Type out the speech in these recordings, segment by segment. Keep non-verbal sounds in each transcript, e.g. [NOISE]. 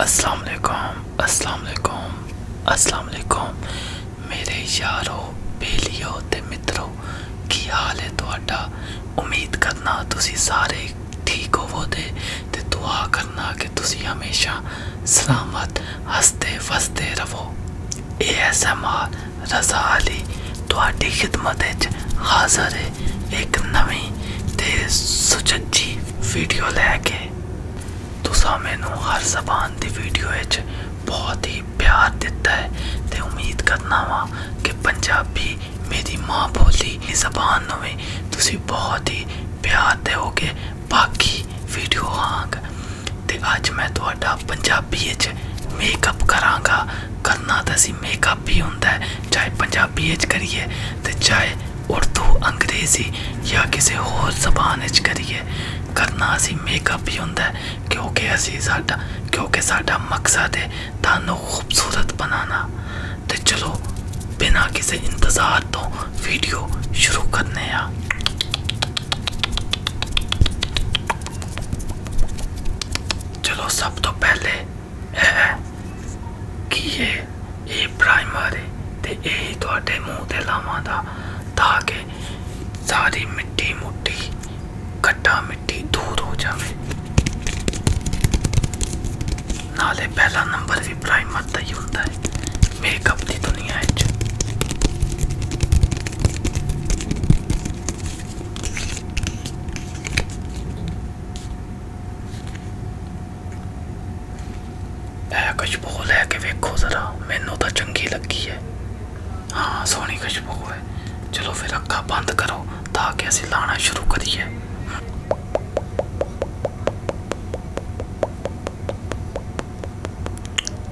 अस्सलाम वालेकुम अस्सलाम वालेकुम अस्सलाम वालेकुम मेरे यारो बेलियो ते मित्रों की हाल है ਤੁਹਾਡਾ ਉਮੀਦ ਕਰਨਾ ਤੁਸੀਂ ਸਾਰੇ ਠੀਕ ਹੋਵੋਗੇ ਤੇ ਦੁਆ ਕਰਨਾ ਕਿ ਤੁਸੀਂ ਹਮੇਸ਼ਾ ਸਲਾਮਤ ਹੱਸਦੇ ਵਸਦੇ ਰਹੋ ASMR ਰਜ਼ਾ ਅਲੀ ਤੁਹਾਡੀ ਖidmat ਵਿੱਚ ਹਾਜ਼ਰ ਹੈ ਇੱਕ ਨਵੀਂ ਤੇ ਸੁਚੱਜੀ ਵੀਡੀਓ ਲੈ ਕੇ ਤੁਸੀਂ ਮੈਨੂੰ ਹਰ ਜ਼ਬਾਨ ਦੀ ਵੀਡੀਓ ਵਿੱਚ ਬਹੁਤ ਹੀ ਪਿਆਰ ਦਿੱਤਾ ਹੈ ਤੇ ਉਮੀਦ ਕਰਨਾ ਵਾ ਕਿ ਪੰਜਾਬੀ ਮੇਰੀ ਮਾਂ ਬੋਲੀ ਦੀ ਜ਼ਬਾਨ ਨੂੰ ਵੀ ਤੁਸੀਂ ਬਹੁਤ ਹੀ ਪਿਆਰ ਦਿਓਗੇ ਬਾਕੀ ਵੀਡੀਓ ਆਂਗ ਤੇ ਅੱਜ ਮੈਂ ਤੁਹਾਡਾ ਪੰਜਾਬੀ ਵਿੱਚ ਮੇਕਅਪ ਕਰਾਂਗਾ ਕਰਨਾ ਤਾਂ ਸੀ ਮੇਕਅਪ ਹੀ ਹੁੰਦਾ ਹੈ ਚਾਹੇ ਪੰਜਾਬੀ ਵਿੱਚ ਕਰੀਏ ਤੇ ਚਾਹੇ ਉਰਦੂ ਅੰਗਰੇਜ਼ੀ ਜਾਂ ਕਿਸੇ ਹੋਰ ਜ਼ਬਾਨ ਵਿੱਚ ਕਰੀਏ ਕਰਨਾ ਸੀ ਮੇਕਅਪ ਹੀ ਹੁੰਦਾ ਹੈ ਕਿਉਂਕਿ ਅਸੀਂ ਸਾਡਾ ਕਿਉਂਕਿ ਸਾਡਾ ਮਕਸਦ ਹੈ ਤੁਹਾਨੂੰ ਖੂਬਸੂਰਤ ਬਣਾਉਣਾ ਤੇ ਚਲੋ ਬਿਨਾਂ ਕਿਸੇ ਇੰਤਜ਼ਾਰ ਤੋਂ वीडियो शुरू करने हैं चलो सब तो पहले है कि ਇਹ ਇਹ ਪ੍ਰਾਇਮਰੀ ਤੇ ਇਹ ਤੁਹਾਡੇ ਮੂੰਹ ਤੇ ਲਾਵਾਂ ਦਾ ਤਾਂ ਕਿ ਸਾਰੀ ਮਿੱਟੀ ਮੁੱਟੀ ਘੱਟਾ ਮਿੱਟੀ ਦੂਰ ਹੋ ਜਾਵੇ ਨਾਲੇ ਪਹਿਲਾ ਨੰਬਰ ਵੀ ਪ੍ਰਾਈਮਰ ਦਾ ਹੀ ਹੁੰਦਾ ਹੈ ਮੇਕਅਪ ਦੀ ਦੁਨੀਆ 'ਚ ਇਹ ਖੁਸ਼ਬੂ ਲੈ ਕੇ ਵੇਖੋ ਜ਼ਰਾ ਮੈਨੂੰ ਤਾਂ ਚੰਗੀ ਲੱਗੀ ਹੈ ਹਾਂ ਸੋਹਣੀ ਖੁਸ਼ਬੂ ਹੈ ਚਲੋ ਫਿਰ ਅੱਖਾਂ ਬੰਦ ਕਰੋ ਤਾਂ ਕਿ ਅਸੀਂ ਲਾਣਾ ਸ਼ੁਰੂ ਕਰੀਏ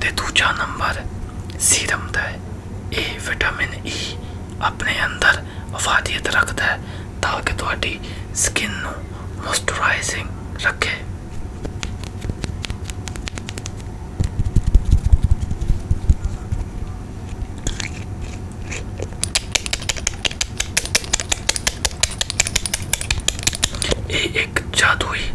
ਤੇ ਦੂਜਾ ਨੰਬਰ ਸੀਰਮ ਦਾ ਹੈ ਇਹ ਵਿਟਾਮਿਨ ਈ ਆਪਣੇ ਅੰਦਰ ਵਫਾਦੀਅਤ ਰੱਖਦਾ ਹੈ ਤਾਂ ਕਿ ਤੁਹਾਡੀ ਸਕਿਨ ਨੂੰ ਮੋਇਸਚਰਾਈਜ਼ਿੰਗ ਰੱਖੇ ਇਹ ਇੱਕ ਜਾਦੂਈ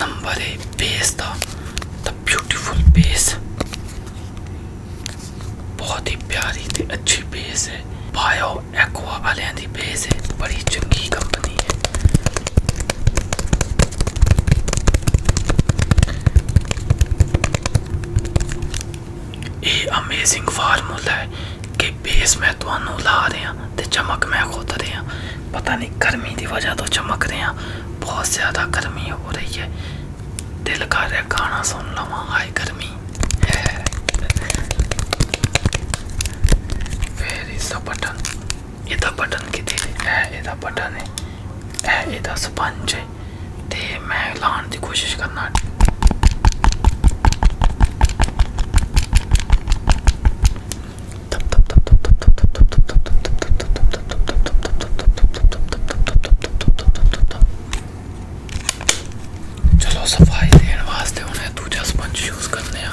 नंबर है बेस था द ब्यूटीफुल बेस बहुत ही प्यारी थी अच्छी बेस है बायो एक्वा वालियां दी बेस है बड़ी चंगी कंपनी है ਇਹ ਅਮੇਜ਼ਿੰਗ ਫਾਰਮੂਲਾ ਹੈ ਕਿ ਬੇਸ ਮੈਂ ਤੁਹਾਨੂੰ ਲਾ ਰਿਹਾ ਤੇ ਚਮਕ ਮੈਂ ਖੁਦ ਰਿਹਾ पता नहीं गर्मी की वजह तो चमक रहे हैं बहुत ज़्यादा गर्मी हो रही है दिल कर रहा गाना सुन लवा आए गर्मी फिर इसका बटन यदा बटन कि यदा बटन है यदा स्पंज तो है तो मैं लाने की कोशिश करना चलो सफाई देने वास्ते उन्हें दूजा स्पंज यूज करने आ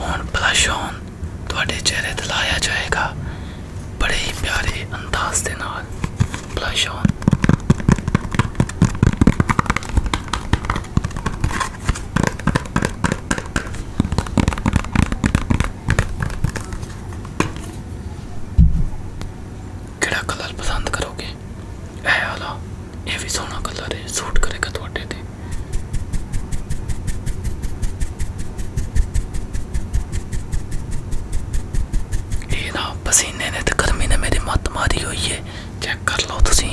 ਹੁਣ ਬਲਸ਼ ਔਨ ਤੁਹਾਡੇ ਚਿਹਰੇ ਤੇ ਲਾਇਆ ਜਾਏਗਾ ਬੜੇ ਹੀ ਪਿਆਰੇ ਅੰਦਾਜ਼ ਦੇ ਨਾਲ ਬਲਸ਼ ਔਨ ਕਿਹੜਾ ਕਲਰ ਪਸੰਦ ਕਰੋਗੇ ਇਹ ਵਾਲਾ ਇਹ ਵੀ ਸੋਹਣਾ ਕਲਰ ਹੈ ਸੂਟ ਕਰੇਗਾ ਤੁਹਾਡੇ ਤੇ ਇਹ ਨਾ ਪਸੀਨੇ ਨੇ ਤੇ ਗਰਮੀ ਨੇ ਮੇਰੀ ਮੱਤ ਮਾਰੀ ਹੋਈ ਹੈ ਚੈੱਕ ਕਰ ਲਓ ਤੁਸੀਂ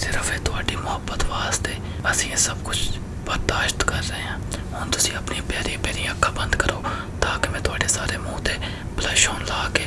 ਸਿਰਫ ਇਹ ਤੁਹਾਡੀ ਮੁਹੱਬਤ ਵਾਸਤੇ ਅਸੀਂ ਇਹ ਸਭ ਕੁਝ ਬਰਦਾਸ਼ਤ ਕਰ ਰਹੇ ਹਾਂ ਹੁਣ ਤੁਸੀਂ ਆਪਣੀ ਪਿਆਰੀ ਪਿਆਰੀ ਅੱਖਾਂ ਬੰਦ ਕਰੋ ਤਾਂ ਕਿ ਮੈਂ ਤੁਹਾਡੇ ਸਾਰੇ ਮੂੰਹ ਤੇ ਬਲਸ਼ ਹੋਣ ਲਾ ਕੇ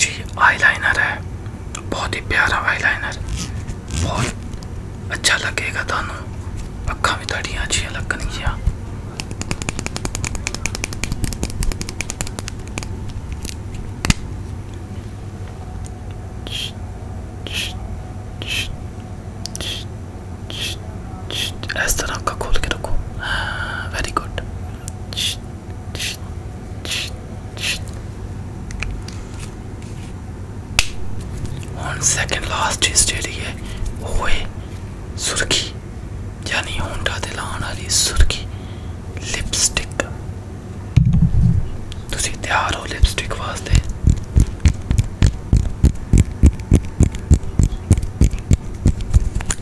जी आईलाइनर है बहुत ही प्यारा आईलाइनर बहुत अच्छा लगेगा थानू अखा भी थोड़िया अच्छी लगनिया इस तरह का खोल के रखो वेरी गुड और सेकेंड लास्ट चीज जी है वो है सुर्खी यानी होंडा दिल आने वाली सुर्खी लिपस्टिक तुम तैयार हो लिपस्टिक वास्ते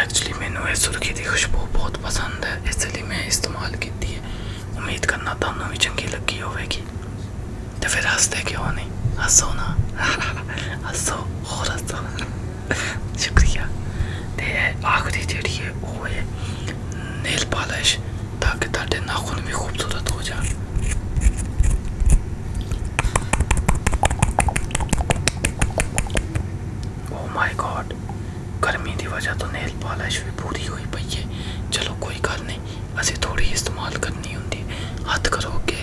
एक्चुअली मैंने सुरखी की खुशबू बहुत पसंद है इसलिए मैं इस्तेमाल की है उम्मीद करना थानू भी चंकी लगी होगी तो फिर हंसते क्यों नहीं हंसो ना [LAUGHS] हंसो और हंसो [LAUGHS] शुक्रिया तो आखिरी जी है वो नेल पालिश ताकि तेरे नाखून भी खूबसूरत हो जाए ओ माय गॉड गर्मी की वजह तो नेल पालिश भी पूरी हुई पई है चलो कोई गल नहीं असें थोड़ी इस्तेमाल करनी होंगी हथ करो अगे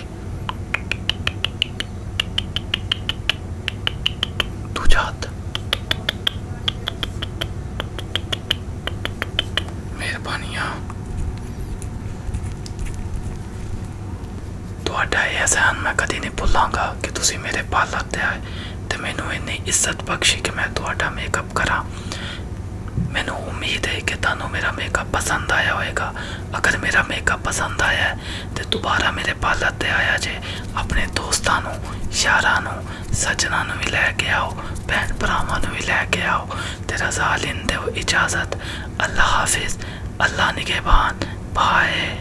दूजा हथ मेहरबानियां ਤੁਹਾਡਾ ਇਹ ਅਹਿਸਾਨ ਮੈਂ ਕਦੀ ਵਕਤ ਆਇਆ ਤੇ ਮੈਨੂੰ ਇੰਨੀ ਇੱਜ਼ਤ ਬਖਸ਼ੀ ਕਿ ਮੈਂ ਤੁਹਾਡਾ ਮੇਕਅਪ ਕਰਾਂ ਮੈਨੂੰ ਉਮੀਦ ਹੈ ਕਿ ਤੁਹਾਨੂੰ ਮੇਰਾ ਮੇਕਅਪ ਪਸੰਦ ਆਇਆ ਹੋਵੇਗਾ ਅਗਰ ਮੇਰਾ ਮੇਕਅਪ ਪਸੰਦ ਆਇਆ ਤੇ ਦੁਬਾਰਾ ਮੇਰੇ ਪਾਲਰ ਤੇ ਆਇਆ ਜੇ ਆਪਣੇ ਦੋਸਤਾਂ ਨੂੰ ਯਾਰਾਂ ਨੂੰ ਸੱਜਣਾਂ ਨੂੰ ਵੀ ਲੈ ਕੇ ਆਓ ਭੈਣ ਭਰਾਵਾਂ ਨੂੰ ਵੀ ਲੈ ਕੇ ਆਓ ਤੇ ਰਜ਼ਾ ਲੈਂਦੇ ਹੋ ਇਜਾਜ਼ਤ ਅੱਲਾ ਹਾਫਿਜ਼ ਅੱਲਾ ਨਿਗਹਿਬਾਨ ਬਾਏ